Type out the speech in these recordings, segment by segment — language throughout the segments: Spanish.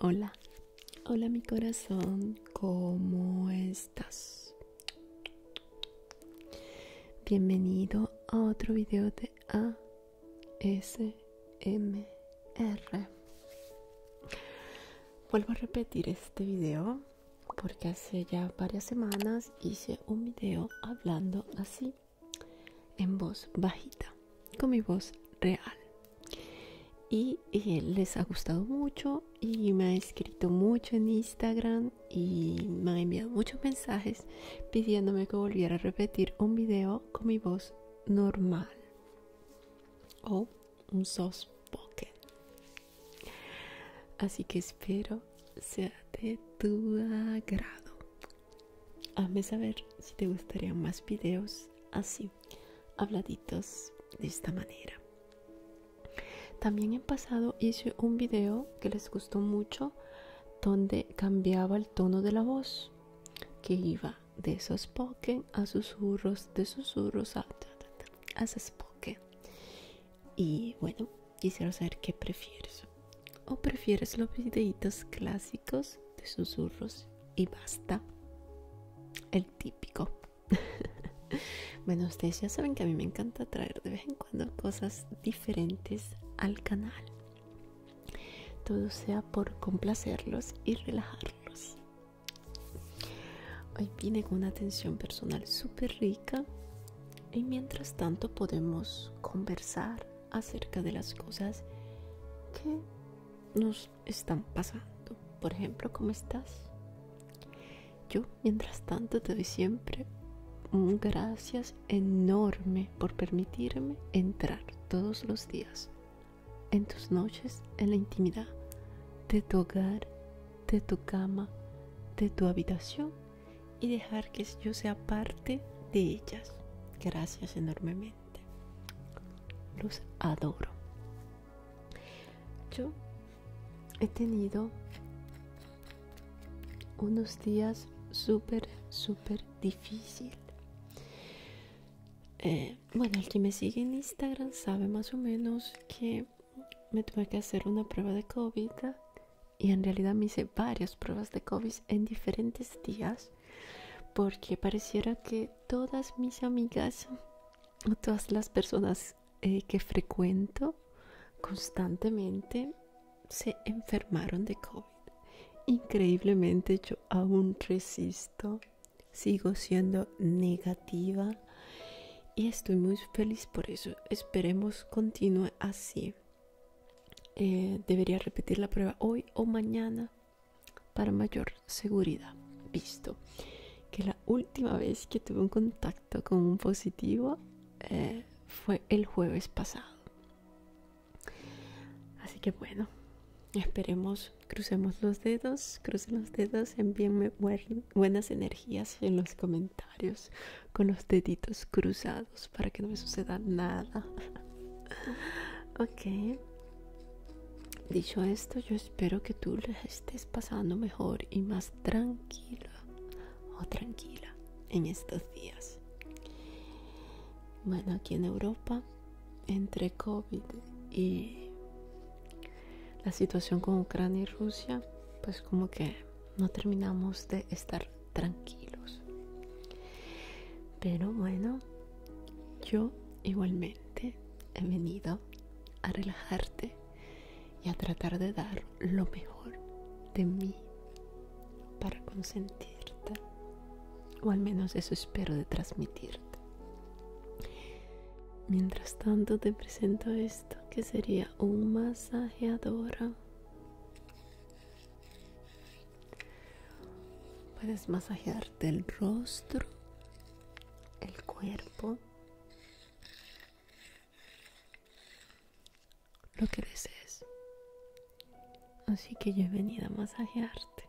Hola, hola mi corazón, ¿cómo estás? Bienvenido a otro video de ASMR. Vuelvo a repetir este video porque hace ya varias semanas hice un video hablando así en voz bajita, con mi voz real. Y les ha gustado mucho y me ha escrito mucho en Instagram y me ha enviado muchos mensajes pidiéndome que volviera a repetir un video con mi voz normal o un soft Así que espero sea de tu agrado. Hazme saber si te gustaría más vídeos así, habladitos de esta manera. También en pasado hice un video que les gustó mucho donde cambiaba el tono de la voz, que iba de spoken a susurros, de susurros a, a spoken. Y bueno, quisiera saber qué prefieres. ¿O prefieres los videitos clásicos de susurros y basta. El típico. bueno, ustedes ya saben que a mí me encanta traer de vez en cuando cosas diferentes al canal. Todo sea por complacerlos y relajarlos. Hoy vine con una atención personal súper rica y mientras tanto podemos conversar acerca de las cosas que nos están pasando. Por ejemplo, ¿cómo estás? Yo, mientras tanto, te doy siempre un gracias enorme por permitirme entrar todos los días en tus noches, en la intimidad de tu hogar, de tu cama, de tu habitación y dejar que yo sea parte de ellas. Gracias enormemente. Los adoro. Yo he tenido unos días súper, súper difícil. Eh, bueno, el que me sigue en Instagram sabe más o menos que me tuve que hacer una prueba de COVID y en realidad me hice varias pruebas de COVID en diferentes días porque pareciera que todas mis amigas o todas las personas eh, que frecuento constantemente se enfermaron de COVID. Increíblemente yo aún resisto, sigo siendo negativa y estoy muy feliz por eso. Esperemos continúe así. Eh, debería repetir la prueba hoy o mañana para mayor seguridad. Visto que la última vez que tuve un contacto con un positivo eh, fue el jueves pasado. Así que bueno, esperemos, crucemos los dedos, crucen los dedos, envíenme buenas energías en los comentarios con los deditos cruzados para que no me suceda nada. ok, Dicho esto, yo espero que tú les estés pasando mejor y más tranquila o tranquila en estos días. Bueno, aquí en Europa, entre COVID y la situación con Ucrania y Rusia, pues como que no terminamos de estar tranquilos. Pero bueno, yo igualmente he venido a relajarte y a tratar de dar lo mejor de mí para consentirte. O al menos eso espero de transmitirte. Mientras tanto te presento esto que sería un masajeador Puedes masajearte el rostro, el cuerpo, lo que desees. Así que yo he venido a masajearte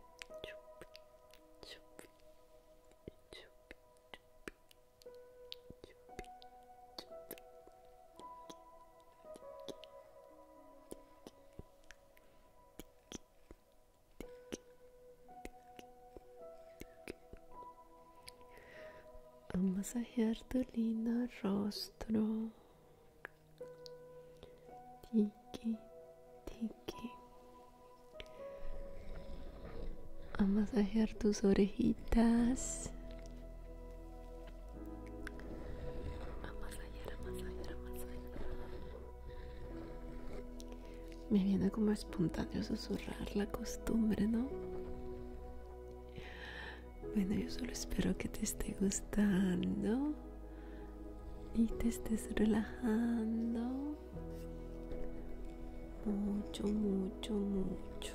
a masajear tu lindo rostro. Tiki, tiki. A masajear tus orejitas. A masajear, a masajear, a masajear. Me viene como espontáneo susurrar la costumbre, ¿no? Bueno, yo solo espero que te esté gustando y te estés relajando mucho, mucho, mucho.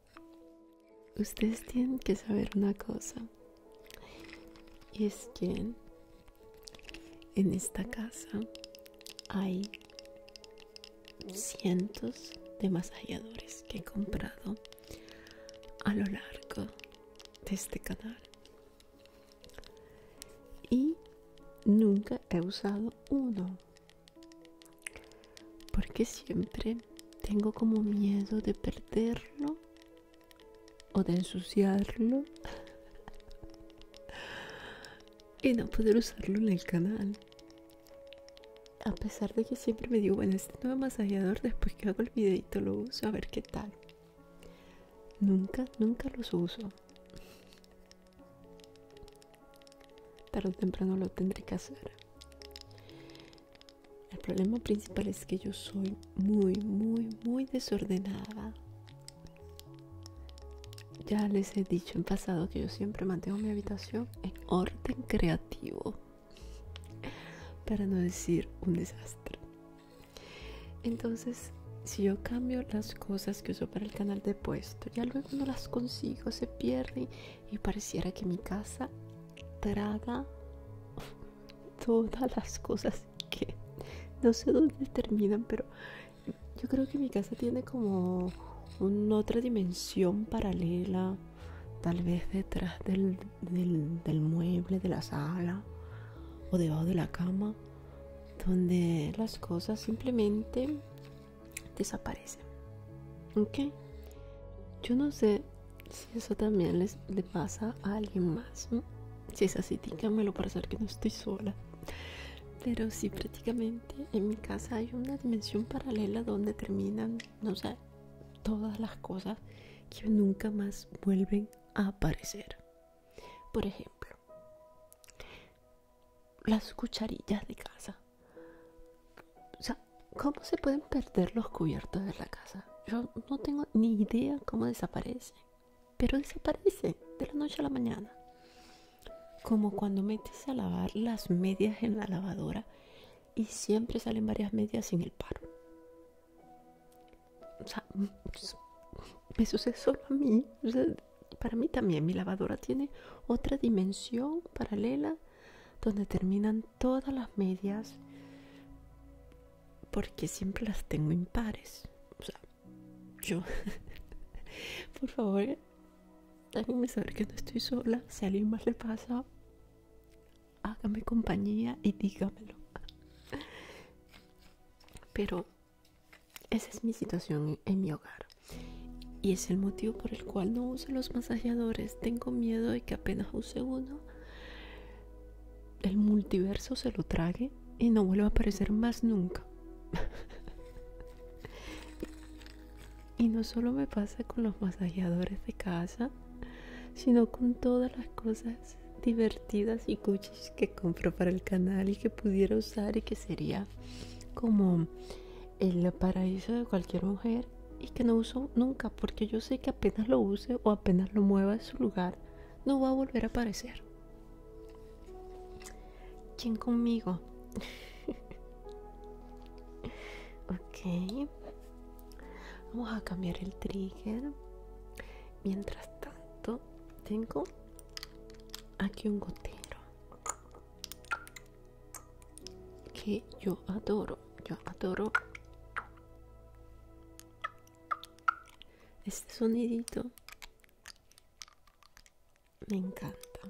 Ustedes tienen que saber una cosa. Y es que en esta casa hay cientos de masalladores que he comprado a lo largo de este canal. Y nunca he usado uno. Porque siempre tengo como miedo de perderlo o de ensuciarlo y no poder usarlo en el canal. A pesar de que siempre me digo, bueno, este nuevo masajeador después que hago el videito lo uso a ver qué tal. Nunca, nunca los uso. Tarde o temprano lo tendré que hacer. El problema principal es que yo soy muy, muy, muy desordenada. Ya les he dicho en pasado que yo siempre mantengo mi habitación en orden creativo. Para no decir un desastre. Entonces, si yo cambio las cosas que uso para el canal de puesto, ya luego no las consigo, se pierden y pareciera que mi casa traga todas las cosas que no sé dónde terminan, pero yo creo que mi casa tiene como una otra dimensión paralela, tal vez detrás del, mueble, de la sala o debajo de la cama, donde las cosas simplemente desaparecen. ¿Ok? Yo no sé si eso también les, le pasa a alguien más. Si es así, dígamelo para saber que no estoy sola. Pero si prácticamente en mi casa hay una dimensión paralela donde terminan, no sé, todas las cosas que nunca más vuelven a aparecer. Por ejemplo, las cucharillas de casa. O sea, ¿cómo se pueden perder los cubiertos de la casa? Yo no tengo ni idea cómo desaparecen, pero desaparecen de la noche a la mañana. Como cuando metes a lavar las medias en la lavadora y siempre salen varias medias sin el paro. O sea, me mm, sucede solo a mí. para mí también mi lavadora tiene otra dimensión paralela donde terminan todas las medias porque siempre las tengo impares. O sea, yo, por favor, me saber que no estoy sola. Si a alguien más le pasa, hágame compañía y dígamelo. Pero esa es mi situación en mi hogar. Y es el motivo por el cual no uso los masajeadores tengo miedo de que apenas use uno, el multiverso se lo trague y no vuelva a aparecer más nunca. y no solo me pasa con los masajeadores de casa, sino con todas las cosas divertidas y cuchis que compro para el canal y que pudiera usar y que sería como el paraíso de cualquier mujer y que no uso nunca porque yo sé que apenas lo use o apenas lo mueva de su lugar, no va a volver a aparecer. ¿Quién conmigo? ok. Vamos a cambiar el trigger. Mientras tanto, tengo aquí un gotero que yo adoro yo adoro este sonidito me encanta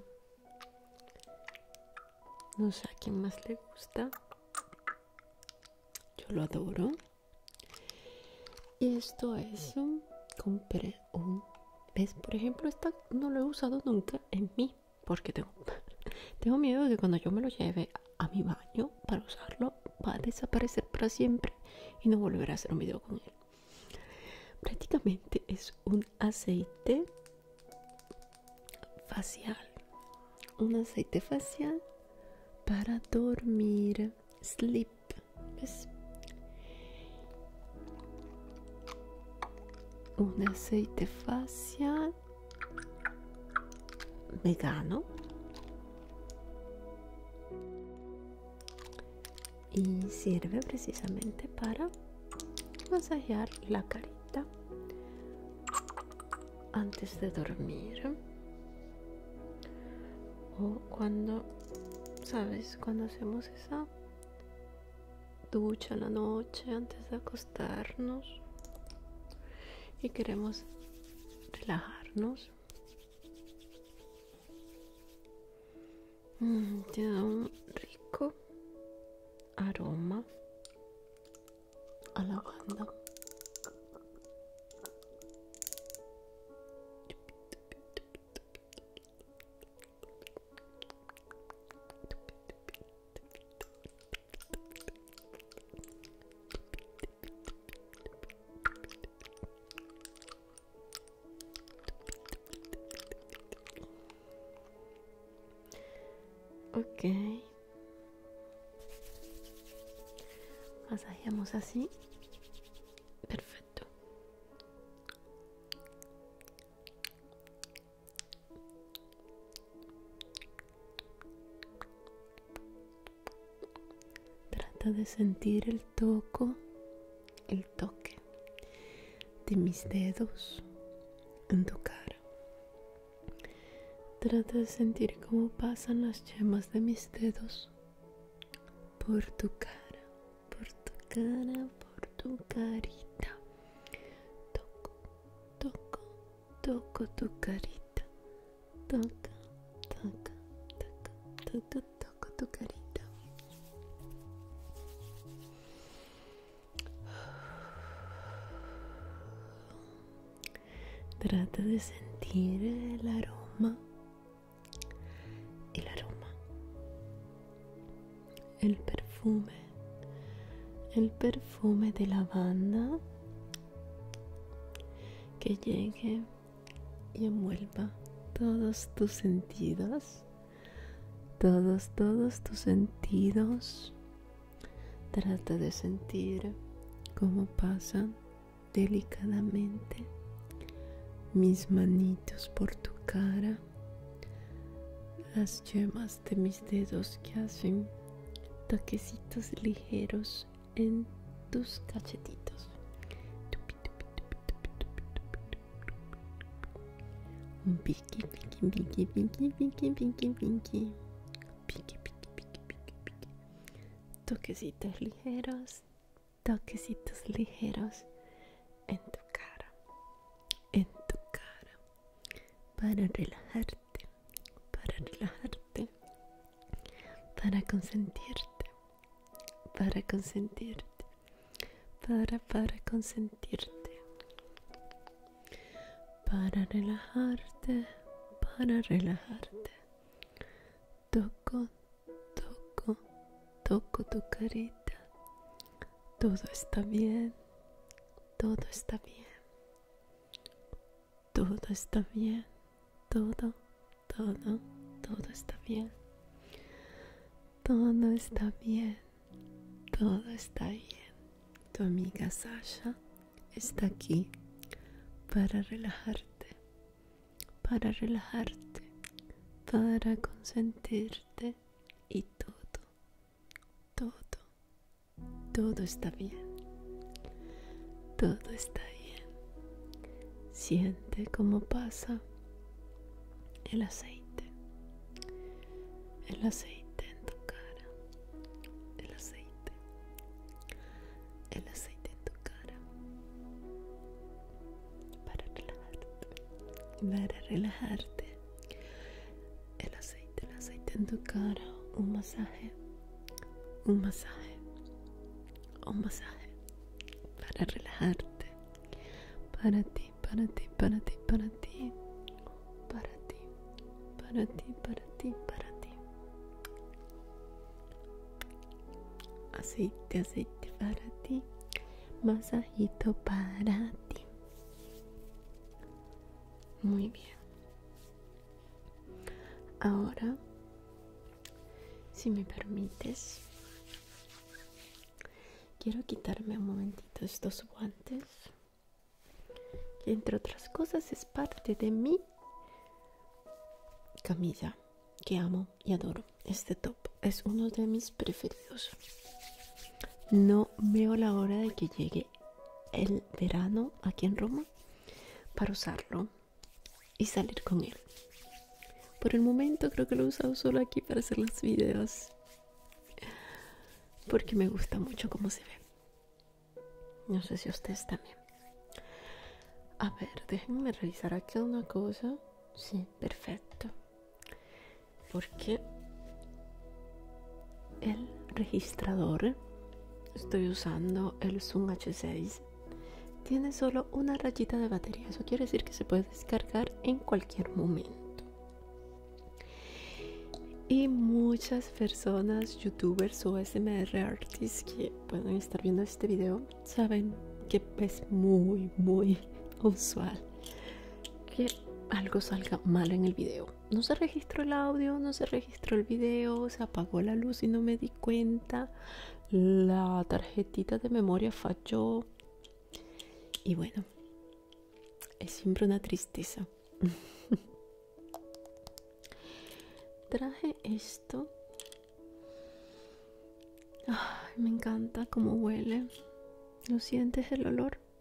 no sé a quién más le gusta yo lo adoro y esto es un compré un ves por ejemplo esta no lo he usado nunca en mi porque tengo, miedo de que cuando yo me lo lleve a, mi baño para usarlo, va a desaparecer para siempre y no volver a hacer un video con él. Prácticamente es un aceite facial, un aceite facial para dormir, sleep. Un aceite facial vegano y sirve precisamente para masajear la carita antes de dormir o cuando sabes cuando hacemos esa ducha la noche antes de acostar darnos y queremos relajarnos. Mm, tiene un rico aroma a lavanda. Ok. masajemos así. Perfecto. Trata de sentir el toco, el toque de mis dedos en tu cara. Trata de sentir cómo pasan las yemas de mis dedos por tu cara, por tu cara, por tu carita. Toco, toco, toco tu carita, toca, toca, toca, toca, toco tu carita. Trata de sentir el aroma, el aroma, el perfume el perfume de lavanda que llegue y envuelva todos tus sentidos, todos, todos tus sentidos. Trata de sentir cómo pasan delicadamente mis manitos por tu cara, las yemas de mis dedos que hacen toquecitos ligeros en tus cachetitos. Un piqui, piqui, piqui, piqui, piqui, piqui, Toquecitos ligeros, toquecitos ligeros en tu cara, en tu cara, para relajarte, para relajarte, para consentirte, para consentirte, para, para consentirte, para relajarte, para relajarte. Toco, toco, toco tu carita. Todo está bien, todo está bien. Todo está bien, todo, todo, todo está bien. Todo está bien, todo está bien. Tu amiga Sasha está aquí para relajarte, para relajarte, para consentirte y todo, todo, todo está bien. Todo está bien. Siente cómo pasa el aceite. El aceite en tu cara. El aceite. El aceite en tu cara. Para relajarte. Para relajarte el aceite, el aceite en tu cara, un masaje, un masaje, un masaje para relajarte, para ti, para ti, para ti, para ti, para ti, para ti, para ti, para ti. Aceite, aceite para ti, masajito para ti. Muy bien. Ahora, si me permites, quiero quitarme un momentito estos guantes, que entre otras cosas es parte de mi camisa, que amo y adoro. Este top es uno de mis preferidos. No veo la hora de que llegue el verano aquí en Roma para usarlo y salir con él. Por el momento creo que lo he usado solo aquí para hacer los videos. Porque me gusta mucho cómo se ve. No sé si ustedes también. A ver, déjenme revisar aquí una cosa. Sí, perfecto. Porque el registrador, estoy usando el Zoom H6, tiene solo una rayita de batería. Eso quiere decir que se puede descargar en cualquier momento. Y muchas personas, youtubers o SMR artists que pueden estar viendo este video, saben que es muy, muy usual que algo salga mal en el video no se registró el audio, no se registró el video, se apagó la luz y no me di cuenta, la tarjetita de memoria falló y bueno, es siempre una tristeza. Traje esto. me encanta cómo huele. ¿No sientes el olor?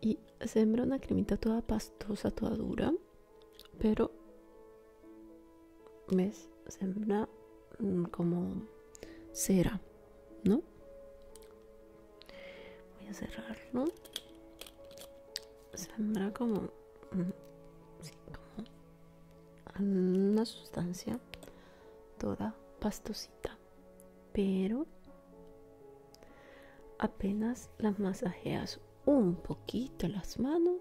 y sembra una cremita toda pastosa, toda dura, pero ves, sembra mm, como cera, ¿no? Voy a cerrarlo. Sembra mm, como, una sustancia toda pastosita pero apenas las masajeas un poquito las manos,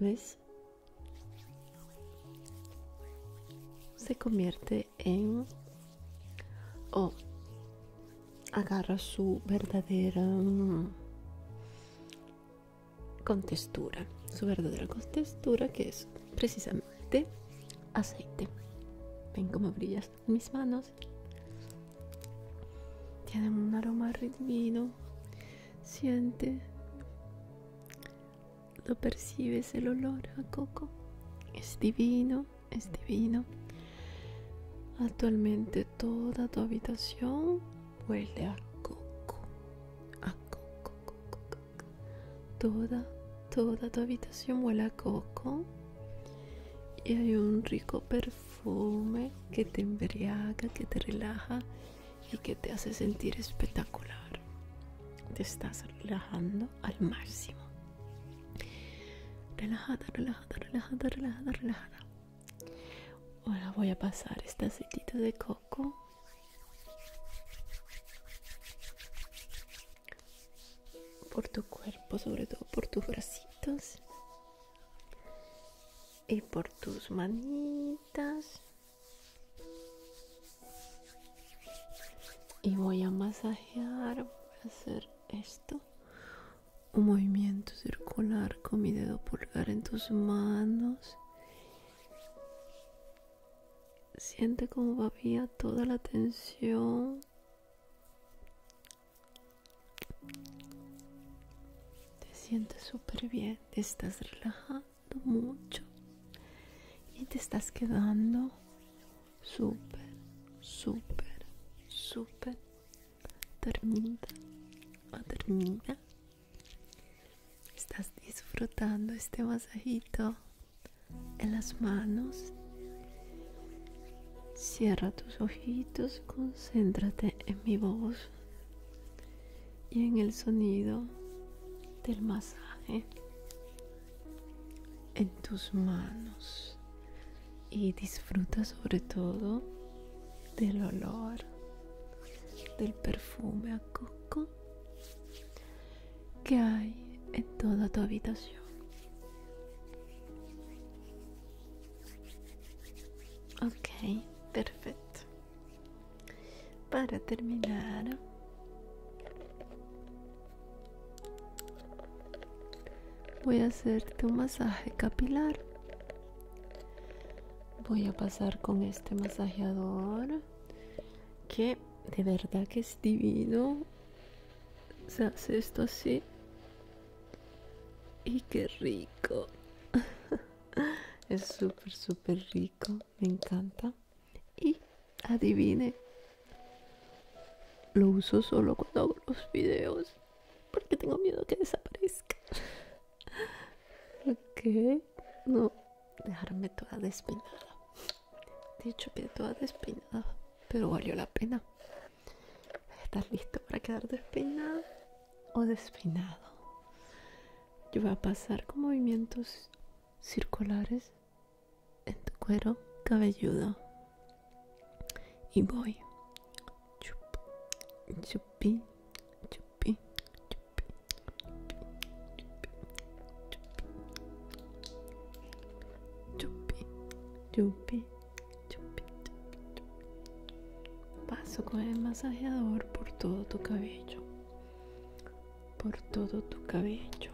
¿ves? Se convierte en... o agarra su verdadera mm, contextura, su verdadera contextura que es precisamente de aceite. Ven como brillas mis manos. Tienen un aroma divino, Siente. Lo percibes el olor a coco. Es divino, es divino. Actualmente toda tu habitación huele a coco. A coco. Toda, toda tu habitación huele a coco. Y hay un rico perfume que te embriaga, que te relaja y que te hace sentir espectacular. Te estás relajando al máximo. Relajada, relajada, relajada, relajada, relajada. Ahora voy a pasar esta aceitito de coco por tu cuerpo, sobre todo por tus bracitos y por tus manitas. Y voy a masajear, voy a hacer esto. Un movimiento circular con mi dedo pulgar en tus manos Siente como vía toda la tensión. Te sientes súper bien, te estás relajando mucho y te estás quedando súper, súper, súper dormida o dormida. Estás disfrutando este masajito en las manos. Cierra tus ojitos, concéntrate en mi voz y en el sonido del masaje en tus manos y disfruta sobre todo del olor del perfume a coco que hay en toda tu habitación. Ok, perfecto. Para terminar, voy a hacerte un masaje capilar. Voy a pasar con este masajeador que de verdad que es divino se hace esto así. Y qué rico. es super super rico. Me encanta. Y adivine. Lo uso solo cuando hago los videos. Porque tengo miedo que desaparezca. ¿qué No, dejarme toda despinada De hecho, quedé toda despinada pero valió la pena. ¿Estás listo para quedar despeinado o despeinado? Yo voy a pasar con movimientos circulares en tu cuero cabelludo. Y voy. Chup, chupi, chupi, chupi, chupi, chupi, Chupi, chupi, chupi, chupi. Paso con el masajeador por todo tu cabello. Por todo tu cabello.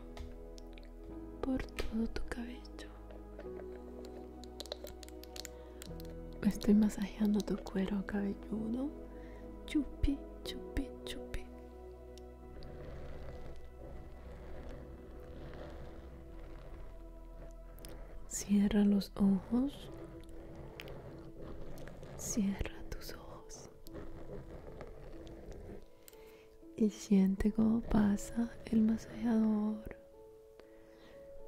Por todo tu cabello. Estoy masajeando tu cuero cabelludo. Chupi, chupi, chupi. Cierra los ojos. Cierra tus ojos. Y siente cómo pasa el masajeador.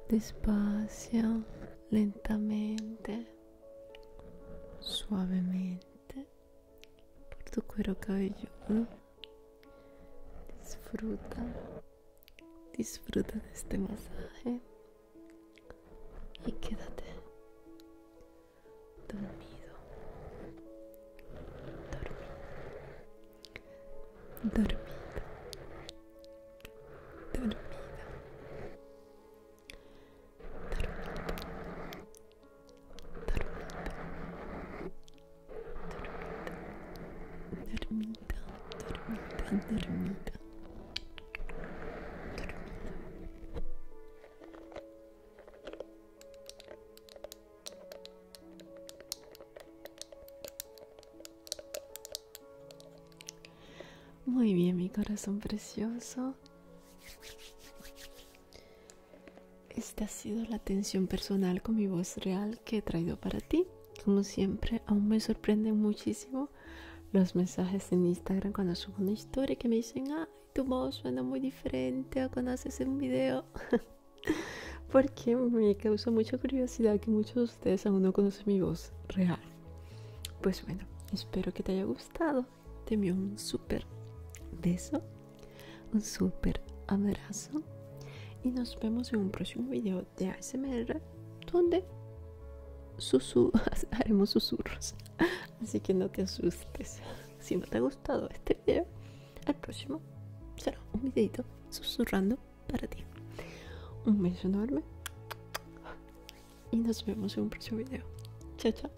Despacio, lentamente, suavemente por tu cuero cabello Disfruta, disfruta de este masaje y quédate dormido, dormido, dormido, dormido, dormido. Dormida, dormida, dormida, dormida, dormida, dormida, dormida, muy bien, mi corazón precioso. Esta ha sido la atención personal con mi voz real que he traído para ti. Como siempre, aún me sorprenden muchísimo los mensajes en Instagram cuando subo una historia que me dicen, ay, tu voz suena muy diferente o cuando haces un video. Porque me causa mucha curiosidad que muchos de ustedes aún no conocen mi voz real. Pues bueno, espero que te haya gustado. Te envío un súper beso un super abrazo y nos vemos en un próximo video de ASMR donde haremos susurros así que no te asustes si no te ha gustado este video el próximo será un videito susurrando para ti un beso enorme y nos vemos en un próximo video chao chao